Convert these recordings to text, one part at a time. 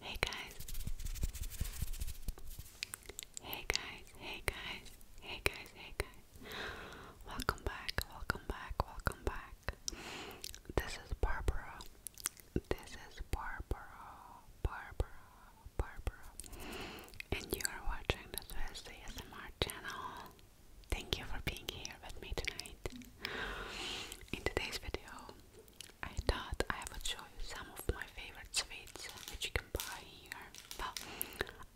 Hey guys. Hey guys, hey guys, hey guys, hey guys. Welcome back, welcome back, welcome back. This is Barbara. This is Barbara, Barbara, Barbara. And you are watching the Swiss ASMR channel. Thank you for being here with me tonight. In today's video, I thought I would show you some of my favorite sweets which you can buy here. Well,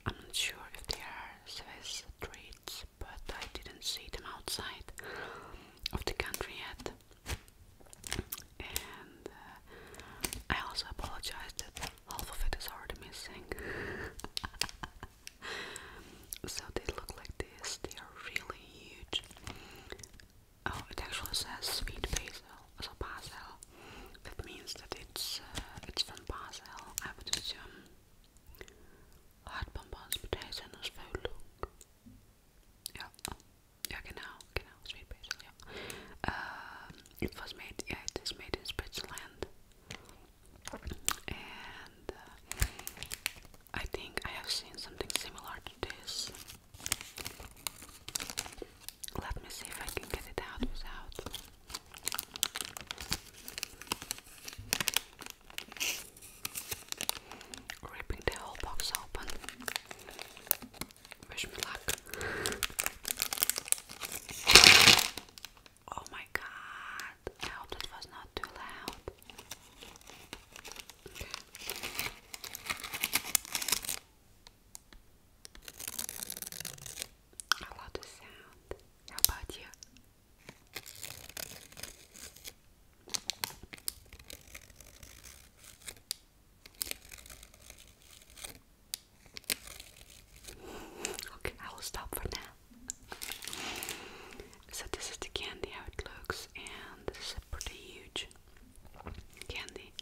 I'm not sure if they are Swiss treats, but I didn't see them outside of the country yet. And uh, I also apologize that half of it is already missing. so they look like this. They are really huge. Oh, it actually says sweet basil, so basil. That means that it's uh, it's from Basel. I would assume. Hot bonbons, potatoes, and as food. Yeah, oh, yeah, genau, genau, sweet basil. Yeah. Um, it was made. Yeah, it is made in Switzerland and uh, I think I have seen something similar to this. Let me see if I can get it out without. Ripping the whole box open. Wish me luck. Oh my god, I hope that was not too loud. I love the sound. How about you? okay, I will stop for now so this is the candy how it looks and this is a pretty huge candy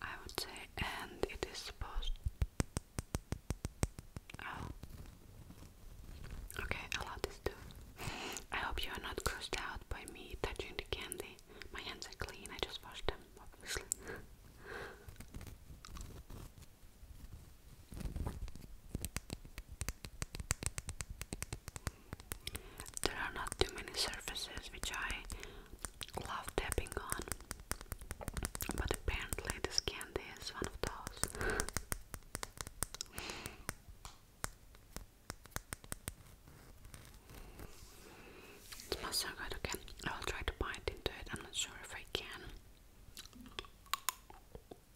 I would say and it is supposed oh okay I love this too I hope you are not grossed out by me touching the candy my hands are clean I just washed them obviously there are not too many surfaces which I love tapping on, but apparently, this candy is one of those. It smells so good again. I will try to bite into it. I'm not sure if I can.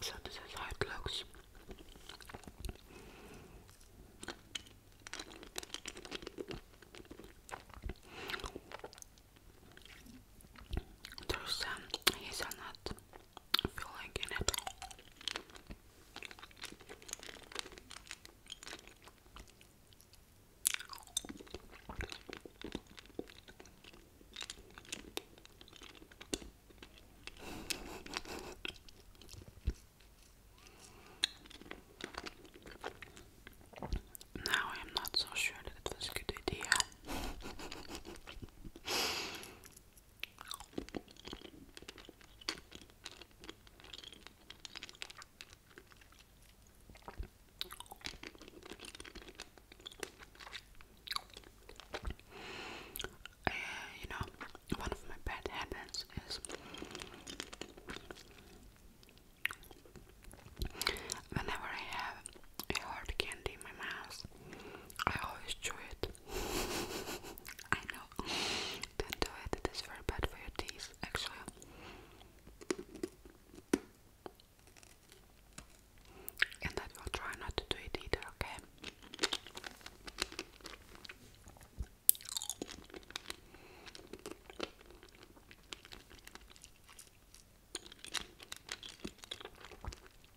So this is how it looks. There's some um, hazelnut now I'm not so sure that it was a good idea. Uh, you know, one of my bad habits is whenever I have a hard candy in my mouth, I always chew it. I know. Don't do it. It is very bad for your teeth, actually. And I will try not to do it either, okay?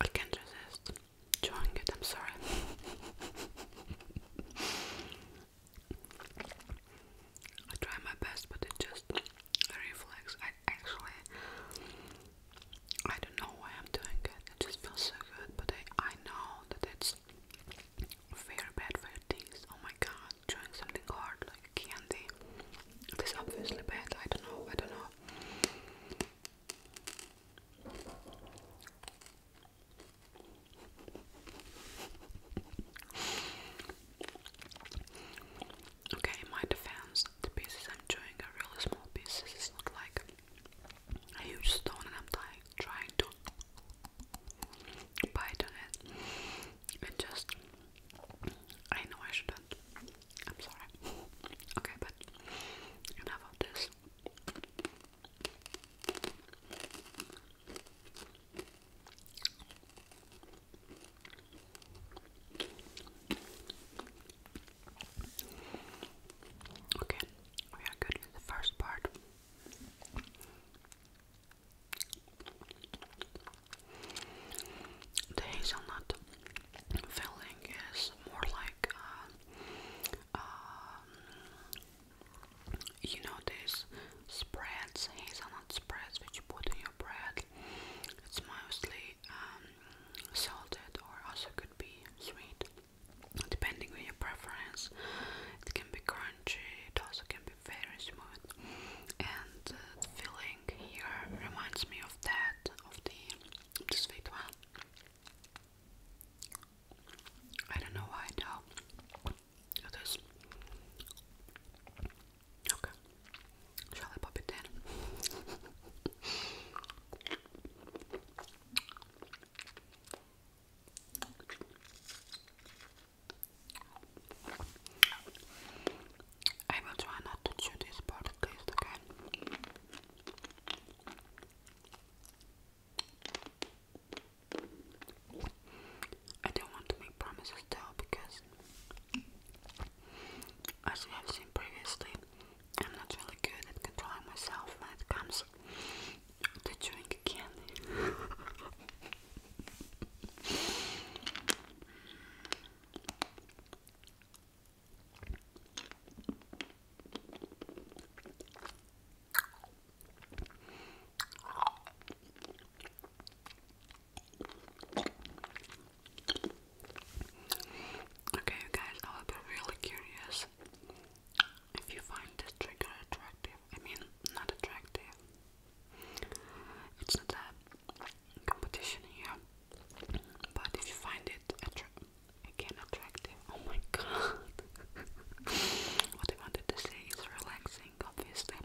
I can't resist. Trying it, I'm sorry. I try my best, but it just reflex. I actually, I don't know why I'm doing it. It just feels so good, but I I know that it's very bad for your teeth. Oh my god, chewing something hard like candy. is obviously bad. I don't know. I don't know. Okay, my defense, the pieces I'm doing are really small pieces. It's not like a huge stone, and I'm trying to bite it. And just, I know I should I'm sorry. Okay, but enough of this. Okay, we are good with the first part. The hazelnut filling is more like uh, um, you know these spreads, hazelnut spreads which you put in your bread. It's mostly um, salted or also could be sweet, depending on your preference. It can be crunchy, it also can be very smooth. And uh, the filling here reminds me of that, of the, the sweet one. I don't know why now. Okay. Shall I pop it in? I will try not to chew this part at least, okay? I don't want to make promises though because, as we have seen previously, I'm not really good at controlling myself when it comes to drinking. candy. Okay, you guys, I will be really curious if you find this trigger attractive. I mean, not attractive. It's not a competition here, but if you find it attractive again attractive. Oh my god. what I wanted to say is relaxing, obviously.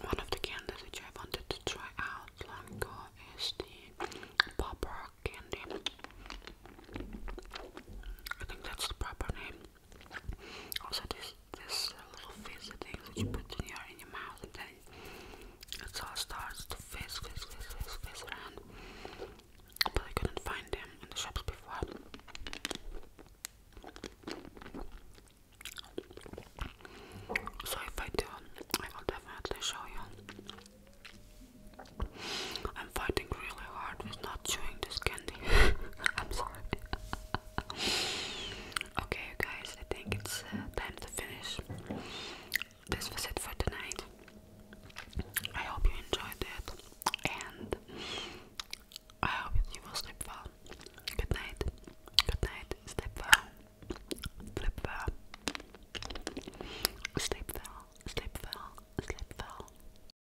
One of the candies which I wanted to try out long ago is the Pop Rock candy. I think that's the proper name. Also, this this little face thing that you put in your in your mouth, and then it all starts to face, face, face, face, face around. But I couldn't find them in the shops before. So if I do, I will definitely show you. I'm fighting really hard with not chewing this candy. I'm sorry. okay, guys, I think it's uh, time to finish. This was it for tonight. I hope you enjoyed it, and I hope you will sleep well. Good night. Good night. Sleep well. Sleep well. Sleep well. Sleep well. Sleep well.